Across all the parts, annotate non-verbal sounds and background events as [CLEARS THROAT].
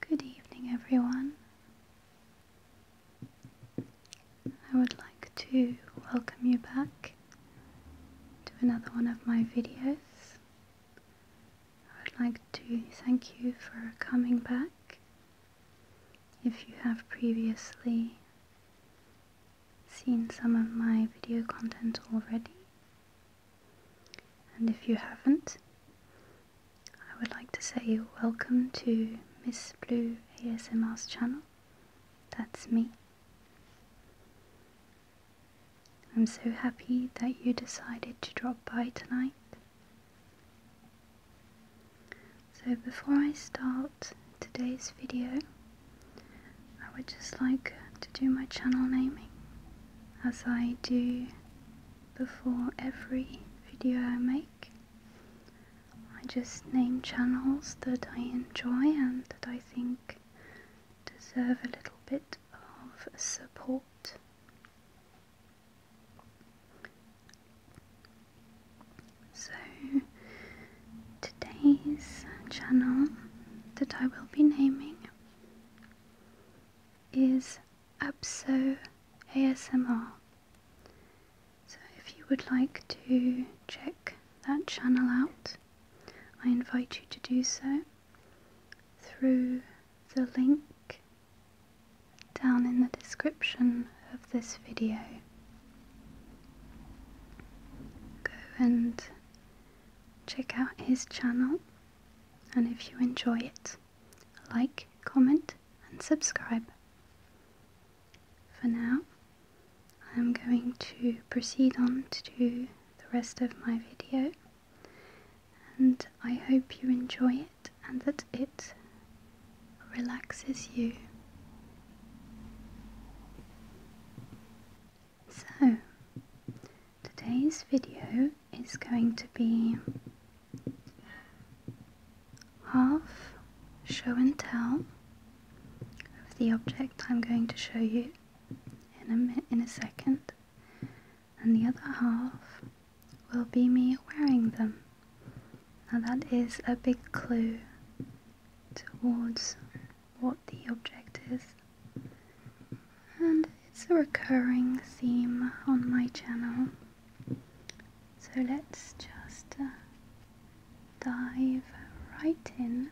Good evening, everyone. I would like to welcome you back to another one of my videos. I would like to thank you for coming back if you have previously seen some of my video content already, and if you haven't, I would like to say welcome to Miss Blue ASMR's channel. That's me. I'm so happy that you decided to drop by tonight so before I start today's video, I would just like to do my channel naming as I do before every video I make. I just name channels that I enjoy and that I think deserve a little bit of support. So, today's channel that I will be naming is Abso ASMR. So, if you would like to check that channel out, I invite you to do so through the link down in the description of this video. Go and check out his channel and if you enjoy it, like, comment and subscribe. For now, I'm going to proceed on to the rest of my video and I hope you enjoy it and that it relaxes you. So, today's video is going to be half show and tell of the object I'm going to show you in a, in a second and the other half will be me wearing them. Now that is a big clue towards what the object is. And it's a recurring theme on my channel. So let's just uh, dive right in.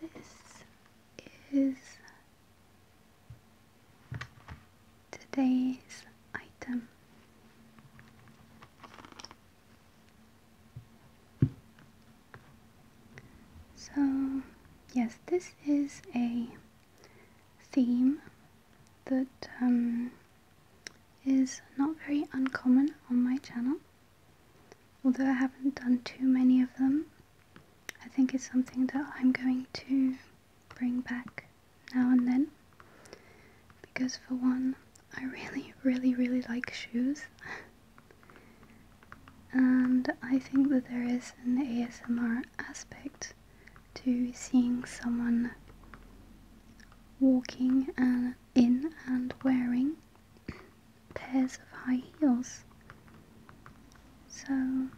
This is today's item. So, yes, this is a theme that um, is not very uncommon on my channel. Although I haven't done too many of them, I think it's something that I'm going to bring back now and then. Because for one, I really, really, really like shoes. and I think that there is an ASMR aspect to seeing someone walking and in and wearing pairs of high heels. So,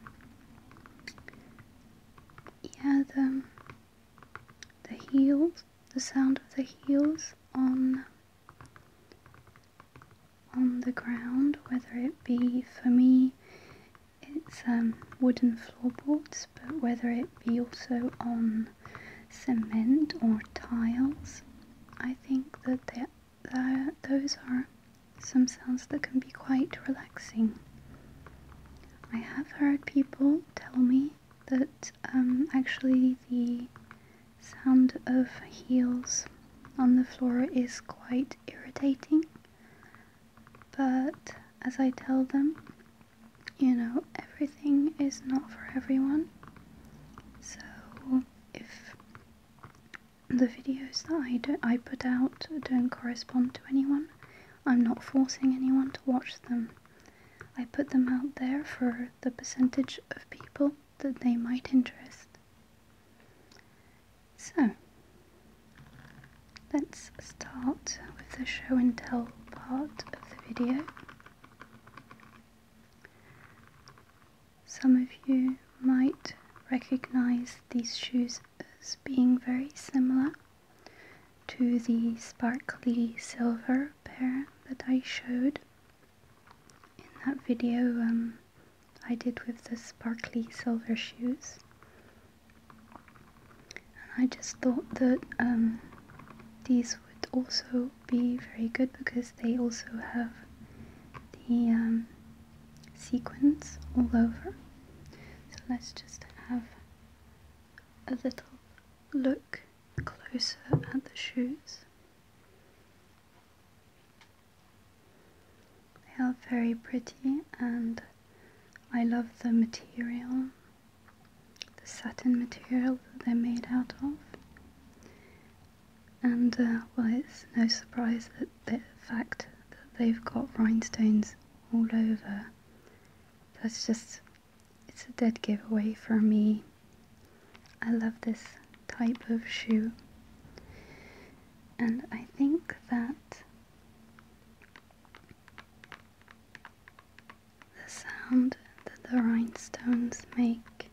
yeah, the, the heels, the sound of the heels on on the ground, whether it be for me it's um, wooden floorboards, but whether it be also on cement or tiles, I think that there that those are some sounds that can be quite relaxing. I have heard people tell me that um, actually the sound of heels on the floor is quite irritating, but as I tell them, you know, everything is not for everyone. So if the videos that I, do, I put out don't correspond to anyone. I'm not forcing anyone to watch them. I put them out there for the percentage of people that they might interest. So, let's start with the show and tell part of the video. Some of you might recognize these shoes as being very similar to the sparkly silver pair that I showed in that video um, I did with the sparkly silver shoes. And I just thought that um, these would also be very good because they also have the um, sequins all over. So let's just have a little look closer at the shoes. They are very pretty and I love the material, the satin material they're made out of. And, uh, well, it's no surprise that the fact that they've got rhinestones all over. That's just, it's a dead giveaway for me. I love this type of shoe. And I think that the sound that the rhinestones make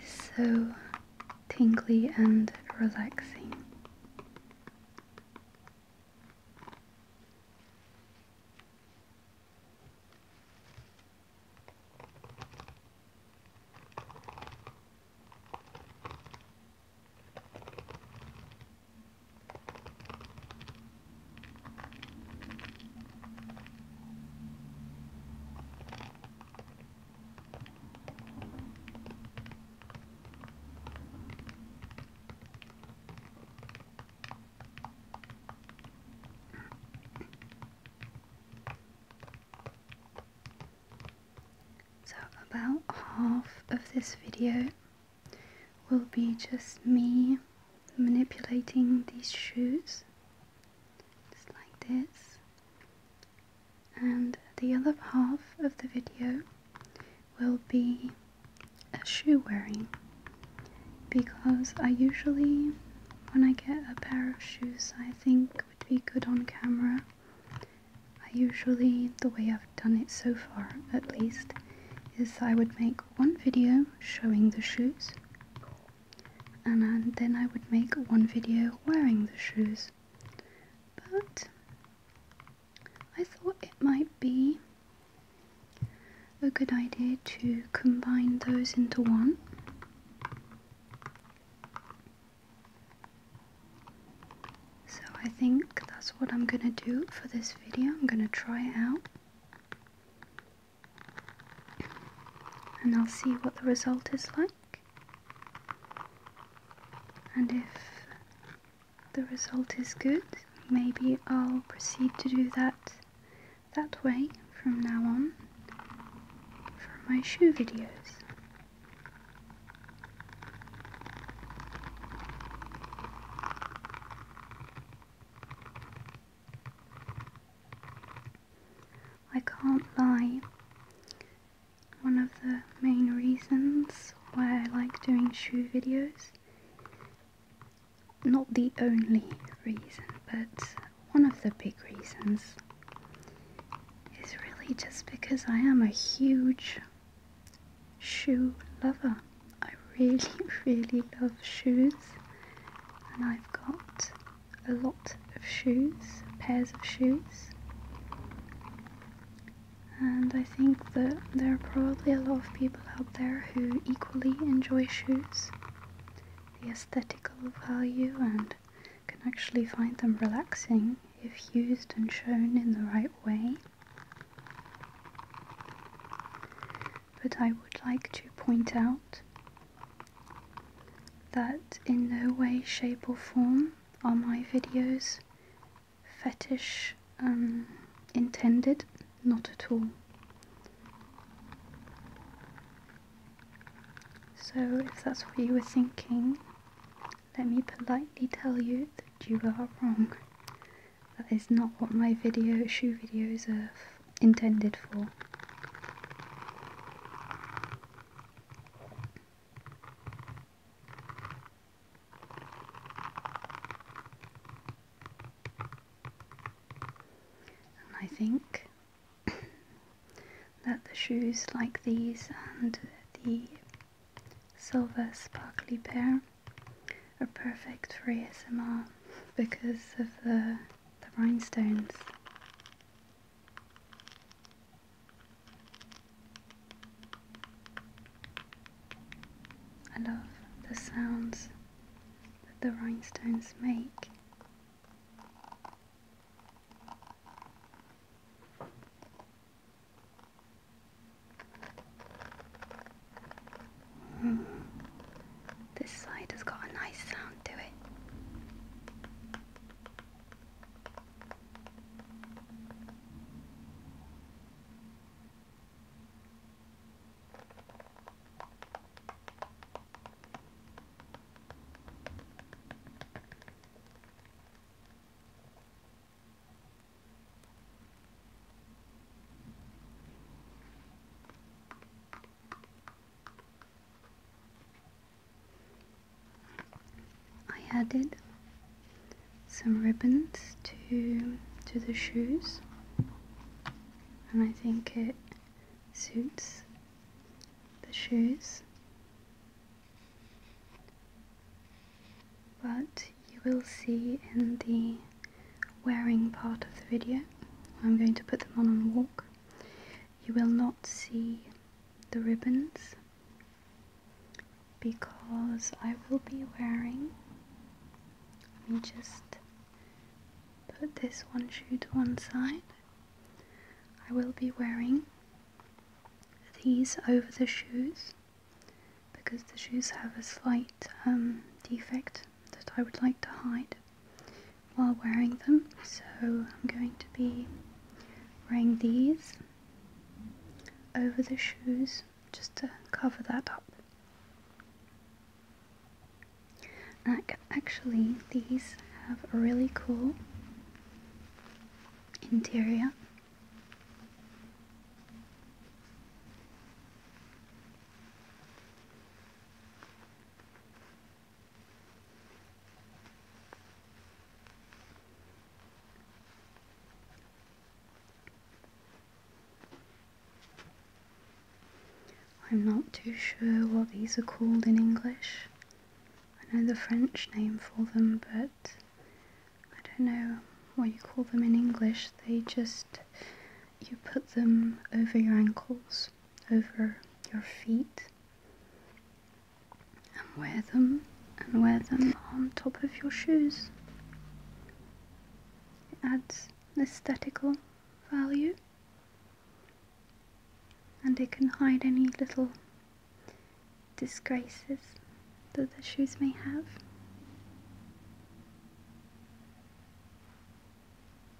is so tingly and relaxing. So, about half of this video will be just me manipulating these shoes just like this. And the other half of the video will be a shoe wearing because I usually, when I get a pair of shoes I think would be good on camera, I usually, the way I've done it so far at least, is I would make one video showing the shoes and uh, then I would make one video wearing the shoes. But I thought it might be a good idea to combine those into one. So I think that's what I'm gonna do for this video. I'm gonna try it out and I'll see what the result is like. And if the result is good, maybe I'll proceed to do that that way from now on for my shoe videos. I can't lie. One of the main reasons why I like doing shoe videos, not the only reason, but one of the big reasons, is really just because I am a huge shoe lover. I really, [LAUGHS] really love shoes, and I've got a lot of shoes, pairs of shoes. And I think that there are probably a lot of people out there who equally enjoy shoes, the aesthetical value, and can actually find them relaxing if used and shown in the right way but I would like to point out that in no way, shape, or form are my videos fetish um, intended, not at all. So if that's what you were thinking, let me politely tell you that you are wrong. That is not what my video shoe videos are intended for. I think [COUGHS] that the shoes like these and the silver sparkly pair are perfect for ASMR because of the the rhinestones. I love the sounds that the rhinestones make. This side has got a nice sound to it. I added some ribbons to to the shoes and I think it suits the shoes but you will see in the wearing part of the video. I'm going to put them on and walk. You will not see the ribbons because I will be wearing, let me just put this one shoe to one side. I will be wearing these over the shoes because the shoes have a slight um, defect that I would like to hide while wearing them. So I'm going to be wearing these over the shoes just to cover that up. Actually, these have a really cool interior. I'm not too sure what these are called in English. I know the French name for them, but I don't know what you call them in English. They just, you put them over your ankles over your feet and wear them and wear them on top of your shoes. It adds aesthetical value and it can hide any little disgraces that the shoes may have.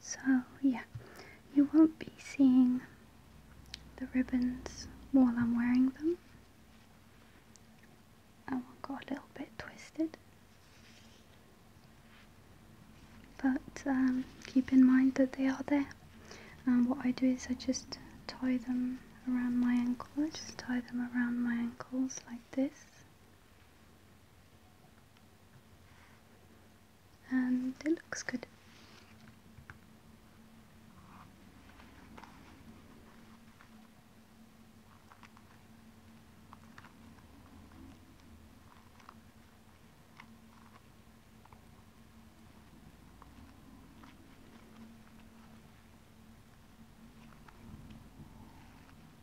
So yeah, you won't be seeing the ribbons while I'm wearing them. I one got a little bit twisted. But um, keep in mind that they are there. And what I do is I just tie them around my ankle. I just tie them around my ankles like this and it looks good.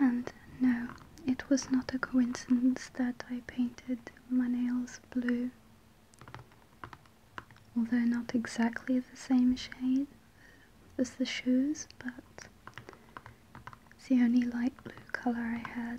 And no, it was not a coincidence that I painted my nails blue although not exactly the same shade as the shoes, but it's the only light blue colour I had.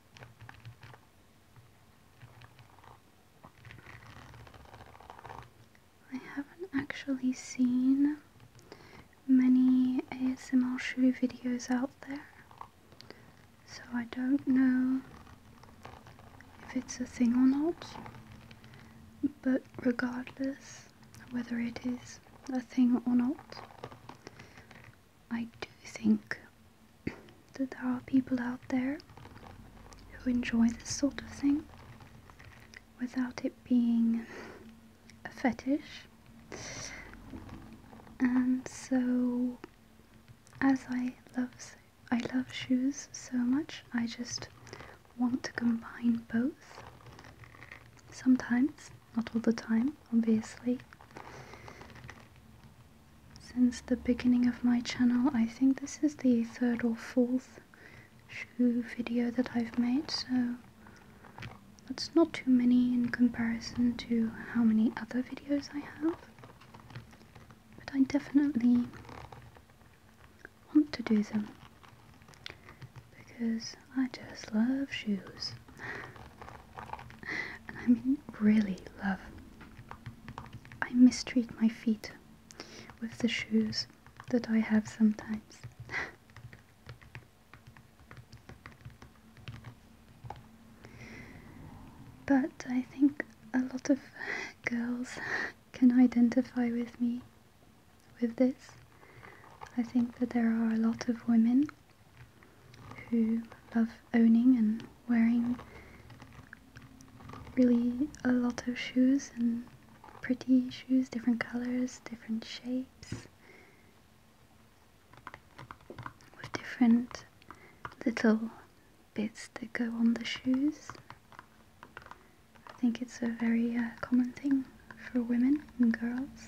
I haven't actually seen many ASMR shoe videos out there, so I don't know if it's a thing or not, but regardless whether it is a thing or not, I do think [CLEARS THROAT] that there are people out there who enjoy this sort of thing without it being a fetish. And so, as I love I love shoes so much, I just want to combine both. Sometimes, not all the time, obviously since the beginning of my channel. I think this is the third or fourth shoe video that I've made, so that's not too many in comparison to how many other videos I have. But I definitely want to do them because I just love shoes. [LAUGHS] I mean really love. I mistreat my feet with the shoes that I have sometimes. [LAUGHS] but I think a lot of girls can identify with me with this. I think that there are a lot of women who love owning and wearing really a lot of shoes and pretty shoes, different colors, different shapes, with different little bits that go on the shoes. I think it's a very uh, common thing for women and girls.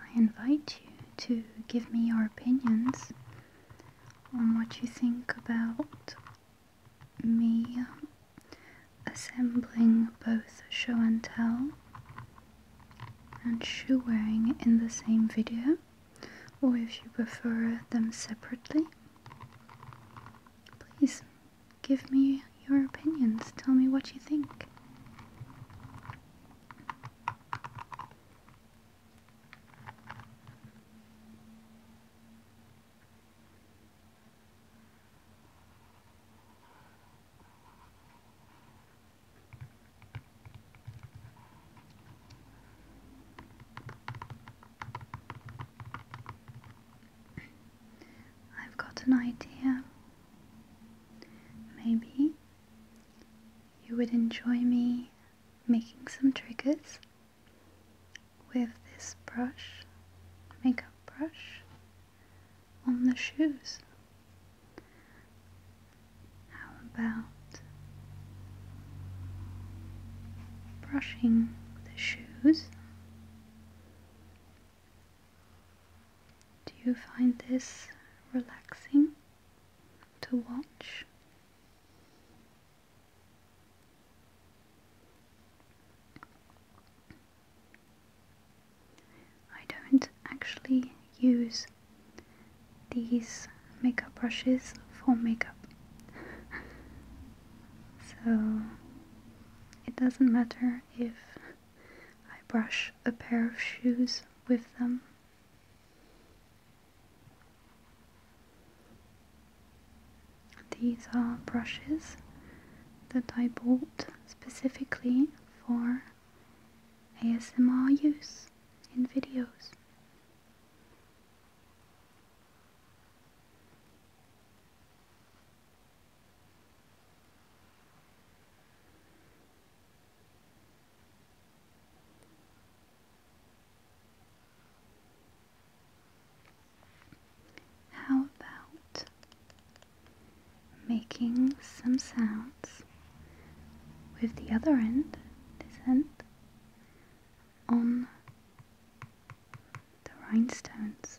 I invite you to give me your opinions on what you think about me assembling both show and tell and shoe wearing in the same video or if you prefer them separately please give me your opinions tell me what you think I've got an idea. Maybe you would enjoy me making some triggers with this brush, makeup brush, on the shoes. How about brushing the shoes? Do you find this relaxing? to watch. I don't actually use these makeup brushes for makeup. [LAUGHS] so it doesn't matter if I brush a pair of shoes with them these are brushes that I bought specifically for ASMR use in videos. How about making some sounds with the other end, this end, on the rhinestones?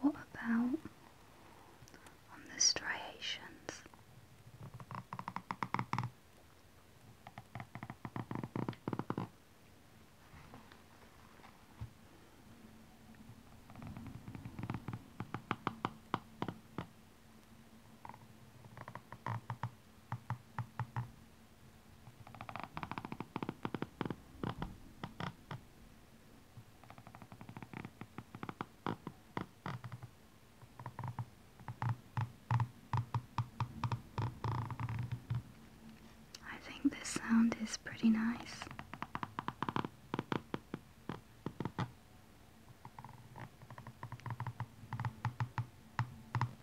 what about on the striations? I think this sound is pretty nice.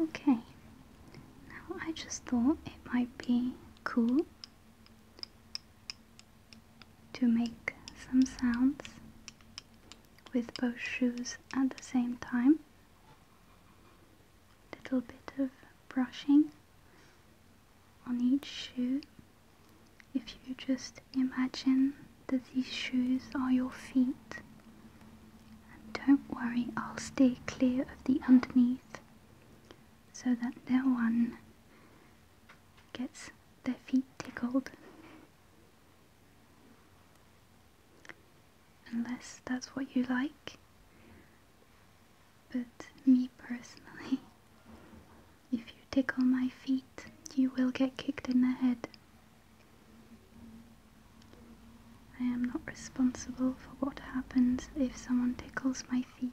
Okay, now I just thought it might be cool to make some sounds with both shoes at the same time. Little bit of brushing on each shoe. If you just imagine that these shoes are your feet. And don't worry, I'll stay clear of the underneath so that they're one gets their feet tickled. Unless that's what you like. But me personally, [LAUGHS] if you tickle my feet, you will get kicked in the head. I am not responsible for what happens if someone tickles my feet.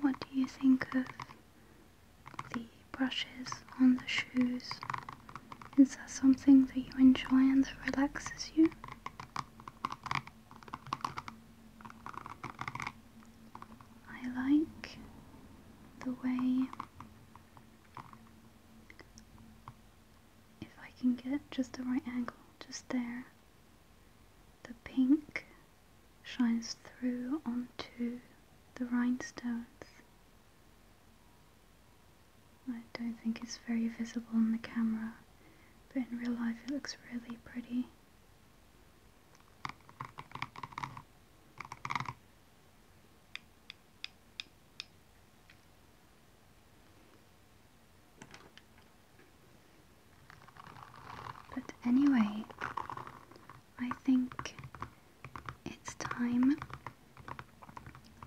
What do you think of the brushes on the shoes? Is that something that you enjoy and that relaxes you? I like the way if I can get just the right angle, just there, the pink shines through onto the rhinestones. I don't think it's very visible on the camera, but in real life it looks really pretty. But anyway, I think it's time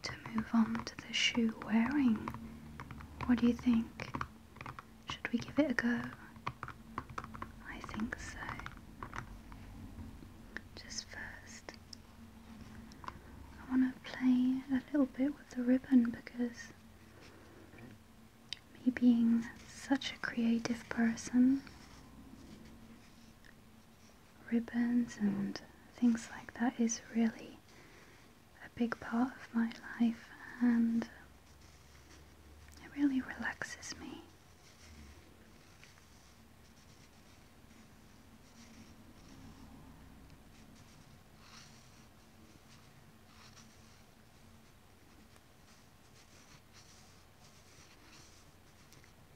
to move on to the shoe wearing. What do you think? Should we give it a go? I think so. Just first, I want to play a little bit with the ribbon because me being such a creative person, ribbons and things like that is really a big part of my life and it really relaxes me.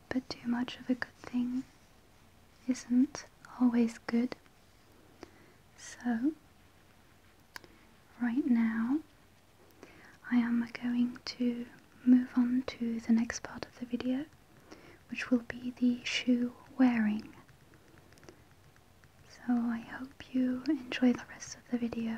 But too much of a good thing isn't always good. So, right now, I am going to move on to the next part of the video, which will be the shoe wearing. So I hope you enjoy the rest of the video.